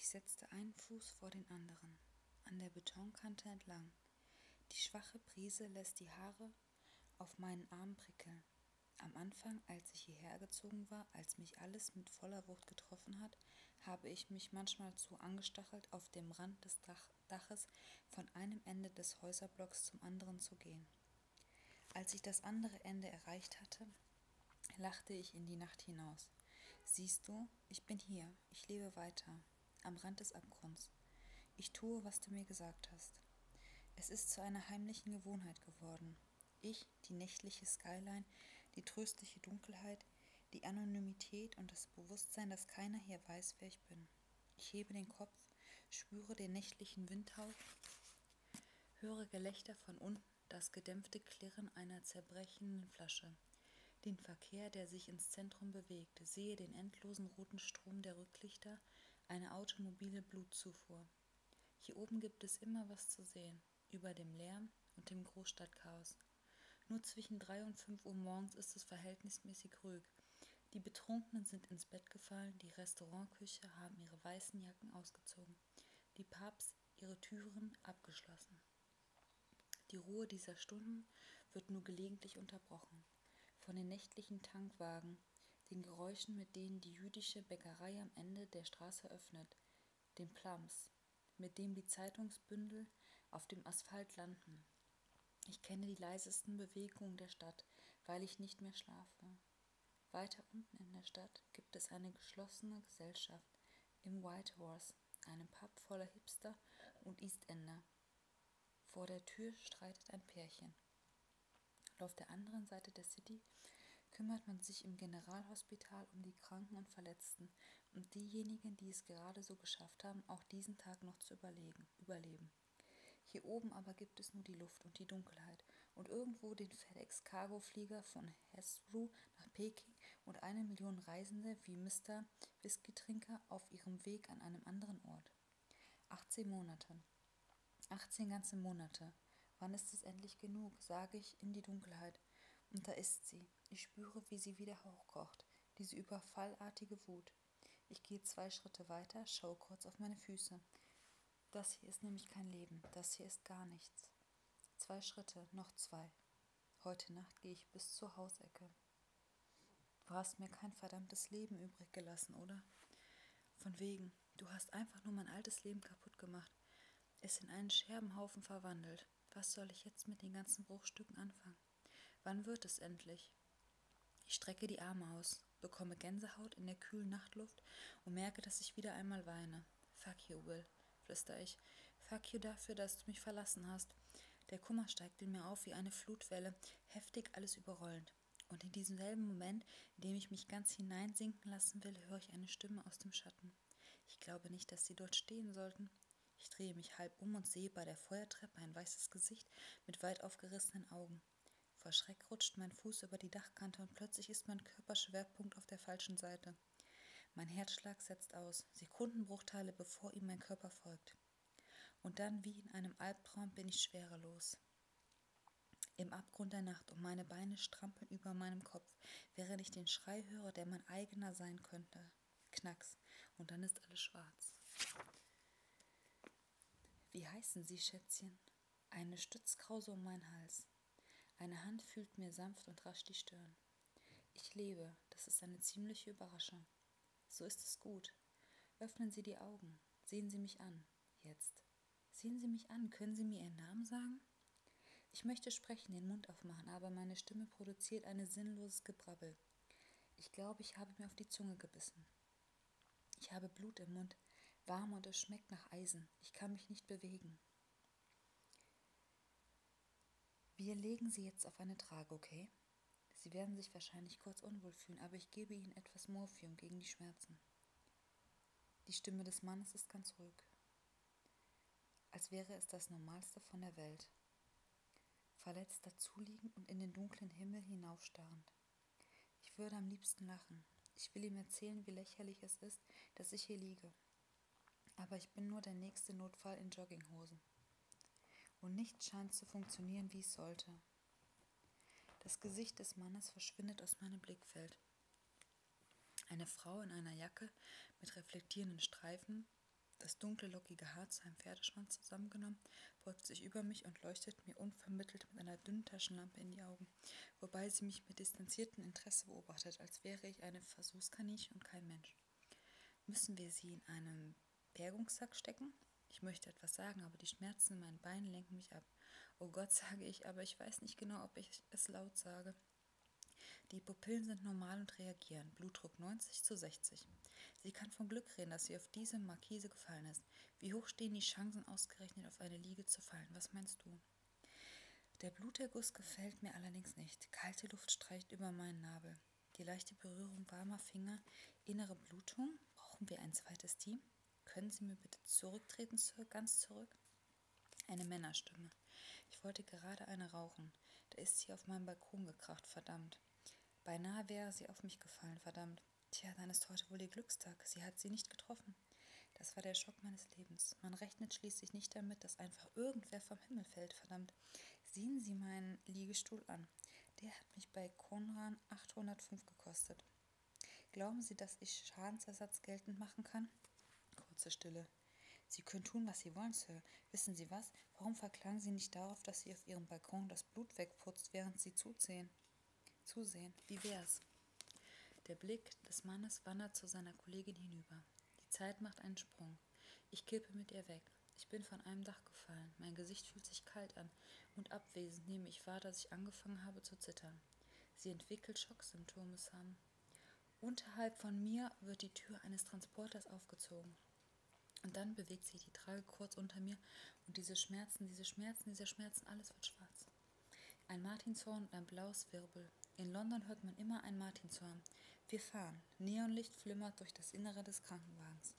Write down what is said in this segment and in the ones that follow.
Ich setzte einen Fuß vor den anderen, an der Betonkante entlang. Die schwache Brise lässt die Haare auf meinen Arm prickeln. Am Anfang, als ich hierher gezogen war, als mich alles mit voller Wucht getroffen hat, habe ich mich manchmal zu angestachelt, auf dem Rand des Dach Daches von einem Ende des Häuserblocks zum anderen zu gehen. Als ich das andere Ende erreicht hatte, lachte ich in die Nacht hinaus. Siehst du, ich bin hier, ich lebe weiter, am Rand des Abgrunds. Ich tue, was du mir gesagt hast. Es ist zu einer heimlichen Gewohnheit geworden. Ich, die nächtliche Skyline, die tröstliche Dunkelheit, die Anonymität und das Bewusstsein, dass keiner hier weiß, wer ich bin. Ich hebe den Kopf, spüre den nächtlichen Windhauch, höre Gelächter von unten, das gedämpfte Klirren einer zerbrechenden Flasche, den Verkehr, der sich ins Zentrum bewegt, sehe den endlosen roten Strom der Rücklichter, eine automobile Blutzufuhr. Hier oben gibt es immer was zu sehen, über dem Lärm und dem Großstadtchaos. Nur zwischen 3 und 5 Uhr morgens ist es verhältnismäßig ruhig. Die Betrunkenen sind ins Bett gefallen, die Restaurantküche haben ihre weißen Jacken ausgezogen, die Pubs ihre Türen abgeschlossen. Die Ruhe dieser Stunden wird nur gelegentlich unterbrochen. Von den nächtlichen Tankwagen den Geräuschen, mit denen die jüdische Bäckerei am Ende der Straße öffnet, den Plums, mit dem die Zeitungsbündel auf dem Asphalt landen. Ich kenne die leisesten Bewegungen der Stadt, weil ich nicht mehr schlafe. Weiter unten in der Stadt gibt es eine geschlossene Gesellschaft im White Horse, einem Pub voller Hipster und Eastender. Vor der Tür streitet ein Pärchen. Und auf der anderen Seite der City kümmert man sich im Generalhospital um die Kranken und Verletzten und diejenigen, die es gerade so geschafft haben, auch diesen Tag noch zu überleben. Hier oben aber gibt es nur die Luft und die Dunkelheit und irgendwo den FedEx-Cargo-Flieger von Hesru nach Peking und eine Million Reisende wie Mr. Whisky-Trinker auf ihrem Weg an einem anderen Ort. 18 Monate. 18 ganze Monate. Wann ist es endlich genug? sage ich in die Dunkelheit. Und da ist sie. Ich spüre, wie sie wieder hochkocht, diese überfallartige Wut. Ich gehe zwei Schritte weiter, schaue kurz auf meine Füße. Das hier ist nämlich kein Leben, das hier ist gar nichts. Zwei Schritte, noch zwei. Heute Nacht gehe ich bis zur Hausecke. Du hast mir kein verdammtes Leben übrig gelassen, oder? Von wegen, du hast einfach nur mein altes Leben kaputt gemacht, es in einen Scherbenhaufen verwandelt. Was soll ich jetzt mit den ganzen Bruchstücken anfangen? Wann wird es endlich? Ich strecke die Arme aus, bekomme Gänsehaut in der kühlen Nachtluft und merke, dass ich wieder einmal weine. Fuck you, Will, flüster ich. Fuck you dafür, dass du mich verlassen hast. Der Kummer steigt in mir auf wie eine Flutwelle, heftig alles überrollend. Und in diesem selben Moment, in dem ich mich ganz hineinsinken lassen will, höre ich eine Stimme aus dem Schatten. Ich glaube nicht, dass sie dort stehen sollten. Ich drehe mich halb um und sehe bei der Feuertreppe ein weißes Gesicht mit weit aufgerissenen Augen. Vor Schreck rutscht mein Fuß über die Dachkante und plötzlich ist mein Körperschwerpunkt auf der falschen Seite. Mein Herzschlag setzt aus, Sekundenbruchteile bevor ihm mein Körper folgt. Und dann wie in einem Albtraum bin ich schwerelos. Im Abgrund der Nacht und meine Beine strampeln über meinem Kopf, während ich den Schrei höre, der mein eigener sein könnte. Knacks. Und dann ist alles schwarz. Wie heißen Sie, Schätzchen? Eine Stützkrause um meinen Hals. Eine Hand fühlt mir sanft und rasch die Stirn. Ich lebe, das ist eine ziemliche Überraschung. So ist es gut. Öffnen Sie die Augen. Sehen Sie mich an. Jetzt. Sehen Sie mich an. Können Sie mir Ihren Namen sagen? Ich möchte sprechen, den Mund aufmachen, aber meine Stimme produziert ein sinnloses Gebrabbel. Ich glaube, ich habe mir auf die Zunge gebissen. Ich habe Blut im Mund, warm und es schmeckt nach Eisen. Ich kann mich nicht bewegen. Wir legen sie jetzt auf eine Trage, okay? Sie werden sich wahrscheinlich kurz unwohl fühlen, aber ich gebe Ihnen etwas Morphium gegen die Schmerzen. Die Stimme des Mannes ist ganz ruhig, als wäre es das Normalste von der Welt. Verletzt dazuliegend und in den dunklen Himmel hinaufstarrend. Ich würde am liebsten lachen. Ich will ihm erzählen, wie lächerlich es ist, dass ich hier liege. Aber ich bin nur der nächste Notfall in Jogginghosen. Und nichts scheint zu funktionieren, wie es sollte. Das Gesicht des Mannes verschwindet aus meinem Blickfeld. Eine Frau in einer Jacke mit reflektierenden Streifen, das dunkle, lockige Haar zu einem Pferdeschwanz zusammengenommen, beugt sich über mich und leuchtet mir unvermittelt mit einer dünnen Taschenlampe in die Augen, wobei sie mich mit distanziertem Interesse beobachtet, als wäre ich eine Versuchskaninchen und kein Mensch. Müssen wir sie in einem Bergungssack stecken. Ich möchte etwas sagen, aber die Schmerzen in meinen Beinen lenken mich ab. Oh Gott, sage ich, aber ich weiß nicht genau, ob ich es laut sage. Die Pupillen sind normal und reagieren. Blutdruck 90 zu 60. Sie kann vom Glück reden, dass sie auf diese Markise gefallen ist. Wie hoch stehen die Chancen, ausgerechnet auf eine Liege zu fallen? Was meinst du? Der Bluterguss gefällt mir allerdings nicht. Kalte Luft streicht über meinen Nabel. Die leichte Berührung warmer Finger, innere Blutung. Brauchen wir ein zweites Team? Können Sie mir bitte zurücktreten, Sir, ganz zurück? Eine Männerstimme. Ich wollte gerade eine rauchen. Da ist sie auf meinen Balkon gekracht, verdammt. Beinahe wäre sie auf mich gefallen, verdammt. Tja, dann ist heute wohl ihr Glückstag. Sie hat sie nicht getroffen. Das war der Schock meines Lebens. Man rechnet schließlich nicht damit, dass einfach irgendwer vom Himmel fällt, verdammt. Sehen Sie meinen Liegestuhl an. Der hat mich bei Konran 805 gekostet. Glauben Sie, dass ich Schadensersatz geltend machen kann? Kurze Stille. Sie können tun, was Sie wollen, Sir. Wissen Sie was? Warum verklagen Sie nicht darauf, dass Sie auf Ihrem Balkon das Blut wegputzt, während Sie zusehen? Zusehen. Wie wär's? Der Blick des Mannes wandert zu seiner Kollegin hinüber. Die Zeit macht einen Sprung. Ich kippe mit ihr weg. Ich bin von einem Dach gefallen. Mein Gesicht fühlt sich kalt an und abwesend nehme ich wahr, dass ich angefangen habe zu zittern. Sie entwickelt Schocksymptome, Sam. Unterhalb von mir wird die Tür eines Transporters aufgezogen. Und dann bewegt sich die Trage kurz unter mir und diese Schmerzen, diese Schmerzen, diese Schmerzen, alles wird schwarz. Ein Martinshorn und ein blaues Wirbel. In London hört man immer ein Martinshorn. Wir fahren. Neonlicht flimmert durch das Innere des Krankenwagens.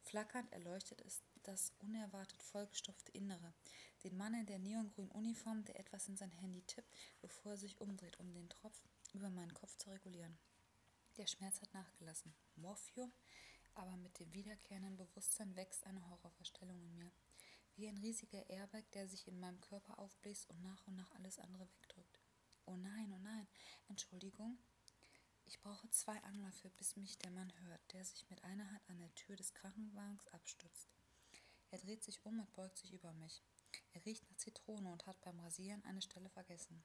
Flackernd erleuchtet ist das unerwartet vollgestopfte Innere. Den Mann in der neongrünen Uniform, der etwas in sein Handy tippt, bevor er sich umdreht, um den Tropfen über meinen Kopf zu regulieren. Der Schmerz hat nachgelassen. Morphium? Aber mit dem wiederkehrenden Bewusstsein wächst eine Horrorverstellung in mir. Wie ein riesiger Airbag, der sich in meinem Körper aufbläst und nach und nach alles andere wegdrückt. Oh nein, oh nein. Entschuldigung. Ich brauche zwei Anläufe, bis mich der Mann hört, der sich mit einer Hand an der Tür des Krankenwagens abstützt. Er dreht sich um und beugt sich über mich. Er riecht nach Zitrone und hat beim Rasieren eine Stelle vergessen.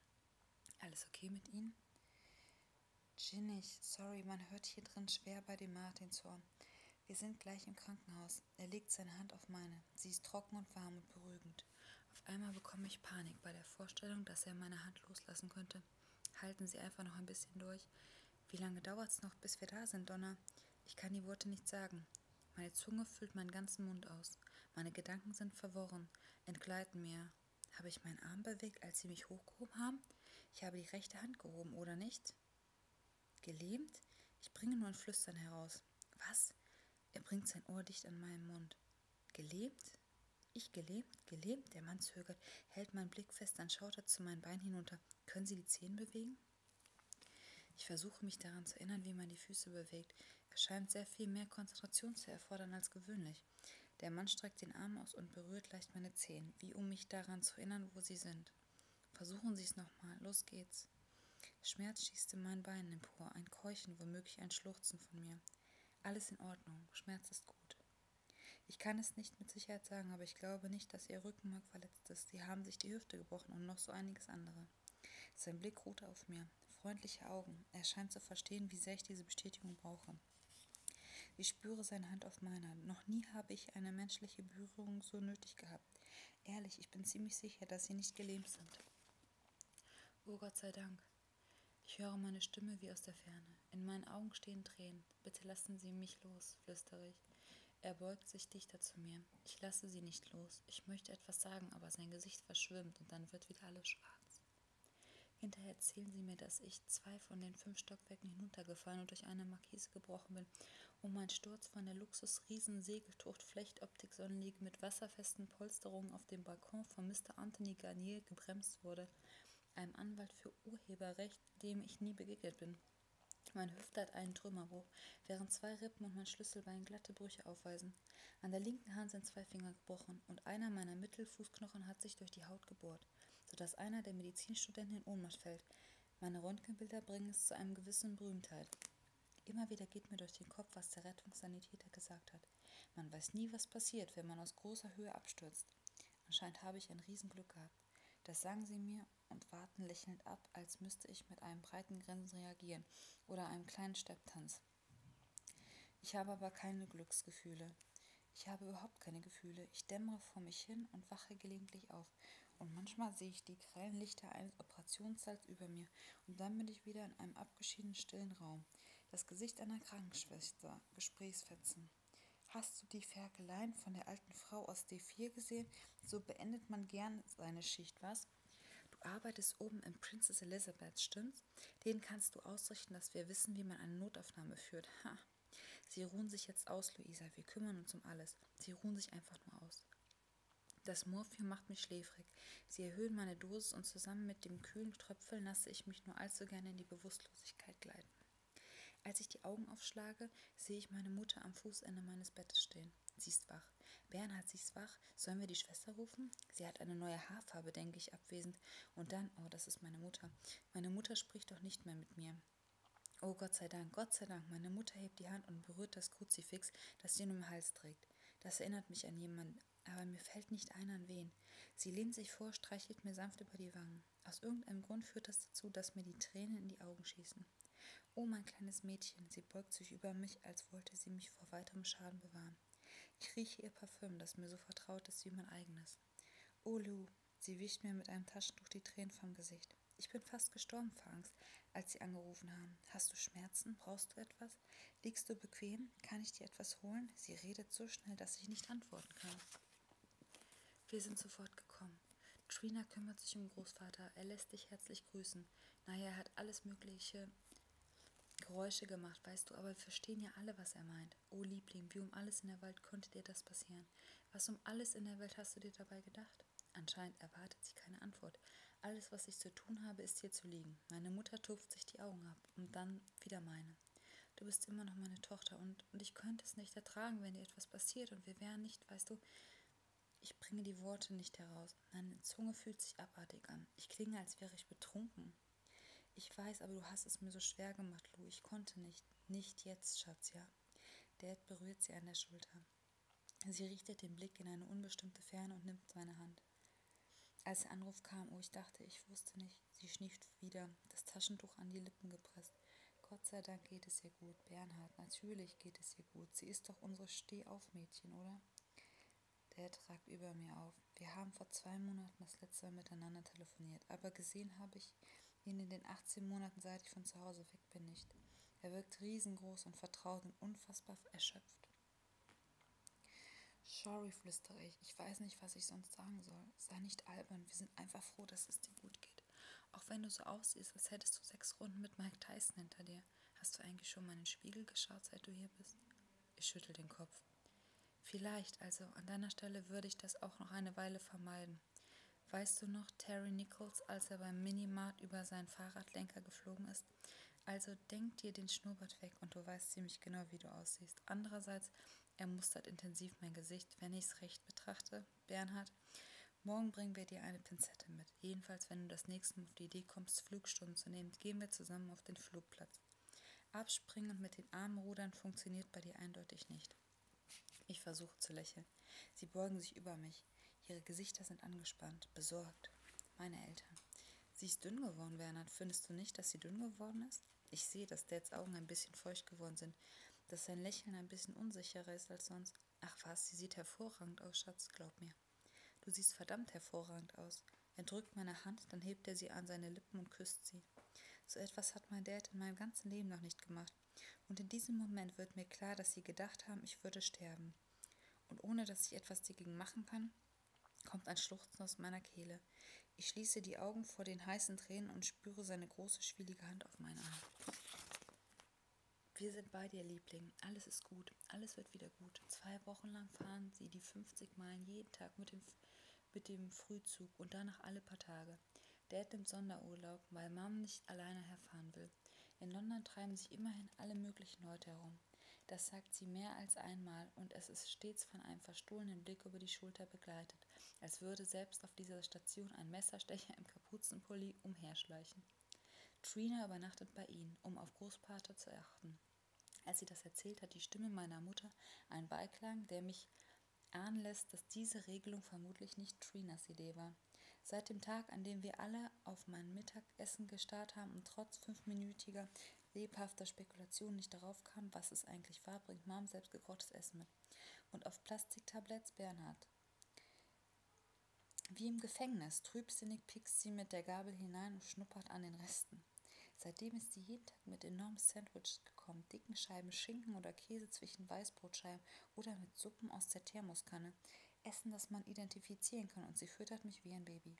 Alles okay mit Ihnen? Ginnig, sorry, man hört hier drin schwer bei dem Martinshorn. Wir sind gleich im Krankenhaus. Er legt seine Hand auf meine. Sie ist trocken und warm und beruhigend. Punkt. Auf einmal bekomme ich Panik bei der Vorstellung, dass er meine Hand loslassen könnte. Halten Sie einfach noch ein bisschen durch. Wie lange dauert's noch, bis wir da sind, Donna? Ich kann die Worte nicht sagen. Meine Zunge füllt meinen ganzen Mund aus. Meine Gedanken sind verworren, entgleiten mir. Habe ich meinen Arm bewegt, als Sie mich hochgehoben haben? Ich habe die rechte Hand gehoben, oder nicht? Gelähmt? Ich bringe nur ein Flüstern heraus. Was? Er bringt sein Ohr dicht an meinen Mund. Gelähmt? Ich gelähmt, gelähmt, der Mann zögert, hält meinen Blick fest, dann schaut er zu meinen Beinen hinunter. Können Sie die Zehen bewegen? Ich versuche mich daran zu erinnern, wie man die Füße bewegt. Es scheint sehr viel mehr Konzentration zu erfordern als gewöhnlich. Der Mann streckt den Arm aus und berührt leicht meine Zehen, wie um mich daran zu erinnern, wo sie sind. Versuchen Sie es nochmal. Los geht's. Schmerz schießt in meinen Beinen empor, ein Keuchen, womöglich ein Schluchzen von mir. Alles in Ordnung, Schmerz ist gut. Ich kann es nicht mit Sicherheit sagen, aber ich glaube nicht, dass ihr Rückenmark verletzt ist. Sie haben sich die Hüfte gebrochen und noch so einiges andere. Sein Blick ruhte auf mir. Freundliche Augen. Er scheint zu verstehen, wie sehr ich diese Bestätigung brauche. Ich spüre seine Hand auf meiner. Noch nie habe ich eine menschliche Berührung so nötig gehabt. Ehrlich, ich bin ziemlich sicher, dass sie nicht gelähmt sind. Oh Gott sei Dank. Ich höre meine Stimme wie aus der Ferne. In meinen Augen stehen Tränen. Bitte lassen Sie mich los, flüstere ich. Er beugt sich dichter zu mir. Ich lasse sie nicht los. Ich möchte etwas sagen, aber sein Gesicht verschwimmt und dann wird wieder alles schwarz. Hinterher erzählen sie mir, dass ich zwei von den fünf Stockwerken hinuntergefallen und durch eine Markise gebrochen bin und mein Sturz von der Luxus-Riesen-Segeltucht-Flechtoptik-Sonnenliege mit wasserfesten Polsterungen auf dem Balkon von Mr. Anthony Garnier gebremst wurde, einem Anwalt für Urheberrecht, dem ich nie begegnet bin. Meine Hüfte hat einen Trümmerbruch, während zwei Rippen und mein Schlüsselbein glatte Brüche aufweisen. An der linken Hand sind zwei Finger gebrochen und einer meiner Mittelfußknochen hat sich durch die Haut gebohrt, sodass einer der Medizinstudenten in Ohnmacht fällt. Meine Röntgenbilder bringen es zu einem gewissen Berühmtheit. Immer wieder geht mir durch den Kopf, was der Rettungssanitäter gesagt hat hat. Man weiß nie, was passiert, wenn man aus großer Höhe abstürzt. Anscheinend habe ich ein Riesenglück gehabt. Das sagen sie mir und warten lächelnd ab, als müsste ich mit einem breiten Grinsen reagieren oder einem kleinen Stepptanz. Ich habe aber keine Glücksgefühle. Ich habe überhaupt keine Gefühle. Ich dämmere vor mich hin und wache gelegentlich auf. Und manchmal sehe ich die grellen Lichter eines Operationssaals über mir. Und dann bin ich wieder in einem abgeschiedenen, stillen Raum das Gesicht einer Krankenschwester, Gesprächsfetzen. Hast du die Ferkeleien von der alten Frau aus D4 gesehen? So beendet man gern seine Schicht, was? Du arbeitest oben im Princess Elizabeth, stimmt's? Den kannst du ausrichten, dass wir wissen, wie man eine Notaufnahme führt. Ha. Sie ruhen sich jetzt aus, Luisa. Wir kümmern uns um alles. Sie ruhen sich einfach nur aus. Das Morphium macht mich schläfrig. Patrick. Sie erhöhen meine Dosis und zusammen mit dem kühlen Tröpfeln lasse ich mich nur allzu gerne in die Bewusstlosigkeit gleiten. Als ich die Augen aufschlage, sehe ich meine Mutter am Fußende meines Bettes stehen. Sie ist wach. Bernhard, sie ist wach. Sollen wir die Schwester rufen? Sie hat eine neue Haarfarbe, denke ich abwesend. Und dann, oh, das ist meine Mutter. Meine Mutter spricht doch nicht mehr mit mir. Oh Gott sei Dank, Gott sei Dank, meine Mutter hebt die Hand und berührt das Kruzifix, das sie um den Hals trägt. Das erinnert mich an jemand, aber mir fällt nicht ein, an wen. Sie lehnt sich vor, streichelt mir sanft über die Wangen. Aus irgendeinem Grund führt das dazu, dass mir die Tränen in die Augen schießen. Oh, mein kleines Mädchen, sie beugt sich über mich, als wollte sie mich vor weiterem Schaden bewahren. Ich rieche ihr Parfüm, das mir so vertraut ist wie mein eigenes. Oh, Lou, sie wischt mir mit einem Taschentuch die Tränen vom Gesicht. Ich bin fast gestorben vor Angst, als sie angerufen haben. Hast du Schmerzen? Brauchst du etwas? Liegst du bequem? Kann ich dir etwas holen? Sie redet so schnell, dass ich nicht antworten kann. Wir sind sofort gekommen. Trina kümmert sich um Großvater. Er lässt dich herzlich grüßen. Naja, er hat alles mögliche Geräusche gemacht, weißt du, aber wir verstehen ja alle, was er meint. Oh Liebling, wie um alles in der Welt konnte dir das passieren? Was um alles in der Welt hast du dir dabei gedacht? Anscheinend erwartet sie keine Antwort. Alles, was ich zu tun habe, ist hier zu liegen. Augen. Meine Mutter tupft sich die Augen ab und dann wieder meine. Du bist immer noch meine Tochter und, und ich könnte es nicht ertragen, wenn dir etwas passiert und wir wären nicht, weißt du. Ich bringe die Worte nicht heraus. Meine Zunge fühlt sich abartig an. Ich klinge, als wäre ich betrunken. Ich weiß, aber du hast es mir so schwer gemacht, Lou. Ich konnte nicht. Nicht jetzt, Schatz, ja. Dad berührt sie an der Schulter. Sie richtet den Blick in eine unbestimmte Ferne und nimmt seine Hand. Als der Anruf kam, oh, ich dachte, ich wusste nicht, sie schnieft wieder, das Taschentuch an die Lippen gepresst. Gott sei Dank geht es ihr gut, Bernhard, natürlich geht es ihr gut. Sie ist doch unsere Stehaufmädchen, oder? Der tragt über mir auf. Wir haben vor zwei Monaten das letzte Mal miteinander telefoniert, aber gesehen habe ich ihn in den 18 Monaten, seit ich von zu Hause weg bin, nicht. Er wirkt riesengroß und vertraut und unfassbar erschöpft. Sorry, flüstere ich. Ich weiß nicht, was ich sonst sagen soll. Sei nicht albern. Wir sind einfach froh, dass es dir gut geht. Auch wenn du so aussiehst, als hättest du sechs Runden mit Mike Tyson hinter dir. Hast du eigentlich schon mal in den Spiegel geschaut, seit du hier bist? Ich schüttel den Kopf. Vielleicht, also an deiner Stelle würde ich das auch noch eine Weile vermeiden. Weißt du noch, Terry Nichols, als er beim Minimart über seinen Fahrradlenker geflogen ist? hast. Also denk dir den Schnurrbart weg und du weißt ziemlich genau, wie du aussiehst. Andererseits, er mustert intensiv mein Gesicht, wenn ich es recht betrachte. Bernhard, morgen bringen wir dir eine Pinzette mit. Jedenfalls, wenn du das nächste Mal auf die Idee kommst, Flugstunden zu nehmen, gehen wir zusammen auf den Flugplatz. Abspringen und mit den Armen rudern funktioniert bei dir eindeutig nicht. Ich versuche zu lächeln. Sie beugen sich über mich. Ihre Gesichter sind angespannt, besorgt. Meine Eltern. Sie ist dünn geworden, Bernhard. Findest du nicht, dass sie dünn geworden ist? Ich sehe, dass Dads Augen ein bisschen feucht geworden sind, dass sein Lächeln ein bisschen unsicherer ist als sonst. Ach was, sie sieht hervorragend aus, Schatz, glaub mir. Du siehst verdammt hervorragend aus. Er drückt meine Hand, dann hebt er sie an seine Lippen und küsst sie. So etwas hat mein Dad in meinem ganzen Leben noch nicht gemacht. Und in diesem Moment wird mir klar, dass sie gedacht haben, ich würde sterben haben. Und ohne dass ich etwas dagegen machen kann, kommt ein Schluchzen aus meiner Kehle. Ich schließe die Augen vor den heißen Tränen und spüre seine große, schwielige Hand auf meinen Arm. Wir sind bei dir, Liebling. Alles ist gut. Alles wird wieder gut. Zwei Wochen lang fahren sie die 50 Meilen jeden Tag mit dem, mit dem Frühzug und danach alle paar Tage. Dad nimmt Sonderurlaub, weil Mom nicht alleine herfahren will. In London treiben sich immerhin alle möglichen Leute herum. Das sagt sie mehr als einmal, und es ist stets von einem verstohlenen Blick über die Schulter begleitet, als würde selbst auf dieser Station ein Messerstecher im Kapuzenpulli umherschleichen. Trina übernachtet bei ihnen, um auf Großpater zu achten. Als sie das erzählt, hat die Stimme meiner Mutter einen Beiklang, der mich ahnen lässt, dass diese Regelung vermutlich nicht Trinas Idee war. Seit dem Tag, an dem wir alle auf meinen Mittag Mittagessen gestarrt haben und trotz fünfminütiger lebhafter Spekulation nicht darauf kam, was es eigentlich war, bringt Mom selbstgekochtes Essen mit. Und auf Plastiktabletts Bernhard. Wie im Gefängnis, trübsinnig piekst sie mit der Gabel hinein und schnuppert an den Resten. Seitdem ist sie jeden Tag mit enormen Sandwiches gekommen, dicken Scheiben Schinken oder Käse zwischen Weißbrotscheiben oder mit Suppen aus der Thermoskanne, Essen, das man identifizieren kann, und sie füttert mich wie ein Baby.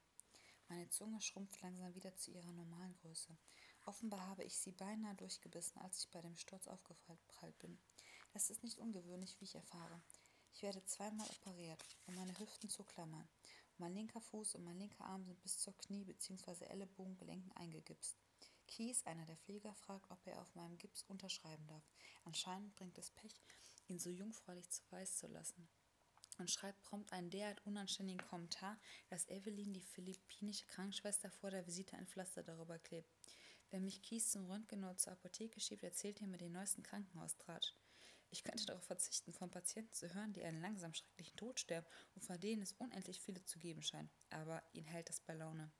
Meine Zunge schrumpft langsam wieder zu ihrer normalen Größe. Offenbar habe ich sie beinahe durchgebissen, als ich bei dem Sturz aufgeprallt bin. Das ist nicht ungewöhnlich, wie ich erfahre. Ich werde zweimal operiert, um meine Hüften zu klammern. Mein linker Fuß und mein linker Arm sind bis zur Knie- bzw. Ellenbogengelenken eingegipst. Kies, einer der Pfleger, fragt, ob er auf meinem Gips unterschreiben darf gehabt. Anscheinend bringt es Pech, ihn so jungfräulich zu weiß zu lassen. Und schreibt prompt einen derart unanständigen Kommentar, dass Evelyn, die philippinische Krankenschwester, vor der Visite ein Pflaster darüber klebt. Wer mich Kies zum Röntgen oder zur Apotheke schiebt, erzählt ihr mir den neuesten Krankenhaustratsch. Ich könnte darauf verzichten, von Patienten zu hören, die einen langsam schrecklichen Tod sterben und von denen es unendlich viele zu geben scheint. Aber ihn hält das bei Laune.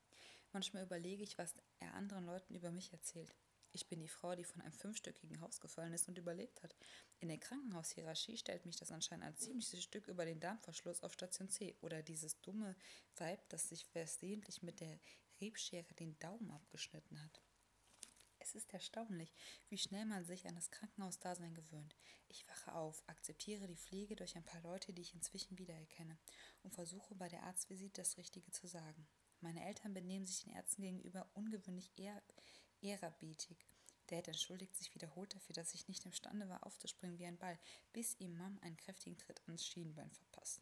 Manchmal überlege ich, was er anderen Leuten über mich erzählt. Ich bin die Frau, die von einem fünfstöckigen Haus gefallen ist und überlebt hat. In der Krankenhaushierarchie stellt mich das anscheinend ein ziemliches Stück über den Darmverschluss auf Station C oder dieses dumme Weib, das sich versehentlich mit der Rebschere den Daumen abgeschnitten hat. Es ist erstaunlich, wie schnell man sich an das Krankenhausdasein gewöhnt. Ich wache auf, akzeptiere die Pflege durch ein paar Leute, die ich inzwischen wiedererkenne, und versuche bei der Arztvisite das Richtige zu sagen. Meine Eltern benehmen sich den Ärzten gegenüber ungewöhnlich eher ehrerbietig. Dad entschuldigt sich wiederholt dafür, dass ich nicht imstande war, aufzuspringen wie ein Ball, bis ihm Mom einen kräftigen Tritt ans Schienbein verpasst.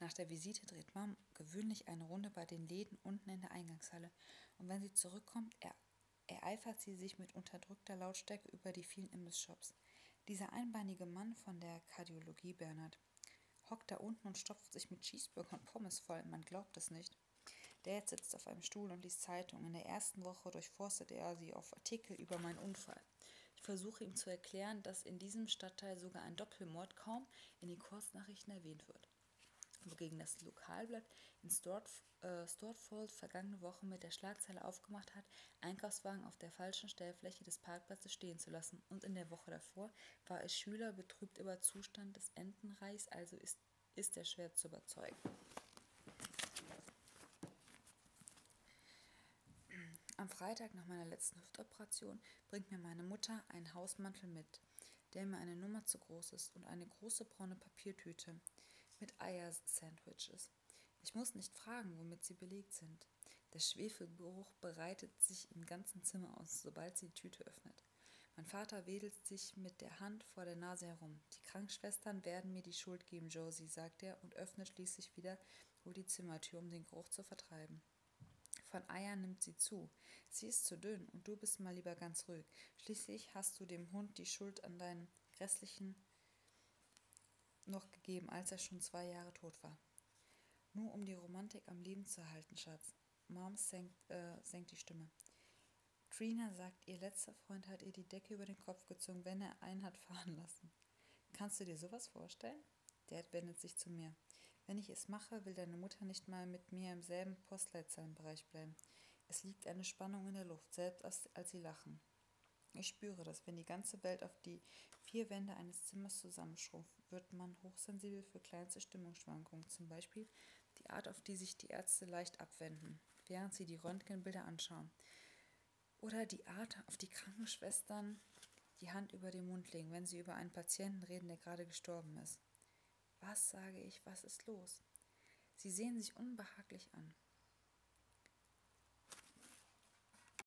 Nach der Visite dreht Mom gewöhnlich eine Runde bei den Läden unten in der Eingangshalle und wenn sie zurückkommt, er ereifert sie sich mit unterdrückter Lautstärke über die vielen Imbiss-Shops. Dieser einbeinige Mann von der Kardiologie Bernhard Hockt da unten und stopft sich mit Cheeseburger und Pommes voll. Man glaubt es nicht. Dad sitzt auf einem Stuhl und liest Zeitungen. In der ersten Woche durchforstet er sie auf Artikel über meinen Unfall. Ich versuche ihm zu erklären, dass in diesem Stadtteil sogar ein Doppelmord kaum in den Kurznachrichten erwähnt wird. Wogegen das Lokalblatt in Stortf äh, Stortfold vergangene Woche mit der Schlagzeile aufgemacht hat, Einkaufswagen auf der falschen Stellfläche des Parkplatzes stehen zu lassen lassen. Und in der Woche davor war es Schüler betrübt über Zustand des Entenreichs, also ist, ist er schwer zu überzeugen. Am Freitag nach meiner letzten Hüftoperation bringt mir meine Mutter einen Hausmantel mit, der mir eine Nummer zu groß ist und eine große braune Papiertüte mit Eier-Sandwiches. Ich muss nicht fragen, womit sie belegt sind atmet. Der Schwefelgeruch breitet sich im ganzen Zimmer aus, sobald sie die Tüte öffnet. Mein Vater wedelt sich mit der Hand vor der Nase herum. Die Krankenschwestern werden mir die Schuld geben, Josie, sagt er und öffnet schließlich wieder wohl die Zimmertür, um den Geruch zu vertreiben. Von Eiern nimmt sie zu. Sie ist zu dünn und du bist mal lieber ganz ruhig. Schließlich hast du dem Hund die Schuld an deinem grässlichen noch gegeben, als er schon zwei Jahre tot war. Nur um die Romantik am Leben zu erhalten, Schatz. Mom senkt, äh, senkt die Stimme. Trina sagt, ihr letzter Freund hat ihr die Decke über den Kopf gezogen, wenn er einen hat fahren lassen. Kannst du dir sowas vorstellen? Dad wendet sich zu mir. Wenn ich es mache, will deine Mutter nicht mal mit mir im selben Postleitzahlenbereich bleiben. Es liegt eine Spannung in der Luft, selbst als, als sie lachen. Ich spüre das, wenn die ganze Welt auf Gesellschaft die vier Wände eines Zimmers zusammenschrumpft, wird man hochsensibel für kleinste Stimmungsschwankungen, zum Beispiel die Art, auf die sich die Ärzte leicht abwenden, während sie die Röntgenbilder anschauen. Oder die Art, auf die Krankenschwestern die Hand über den Mund legen, wenn sie über einen Patienten reden, der gerade gestorben ist. Was sage ich, was ist los? Sie sehen sich unbehaglich an.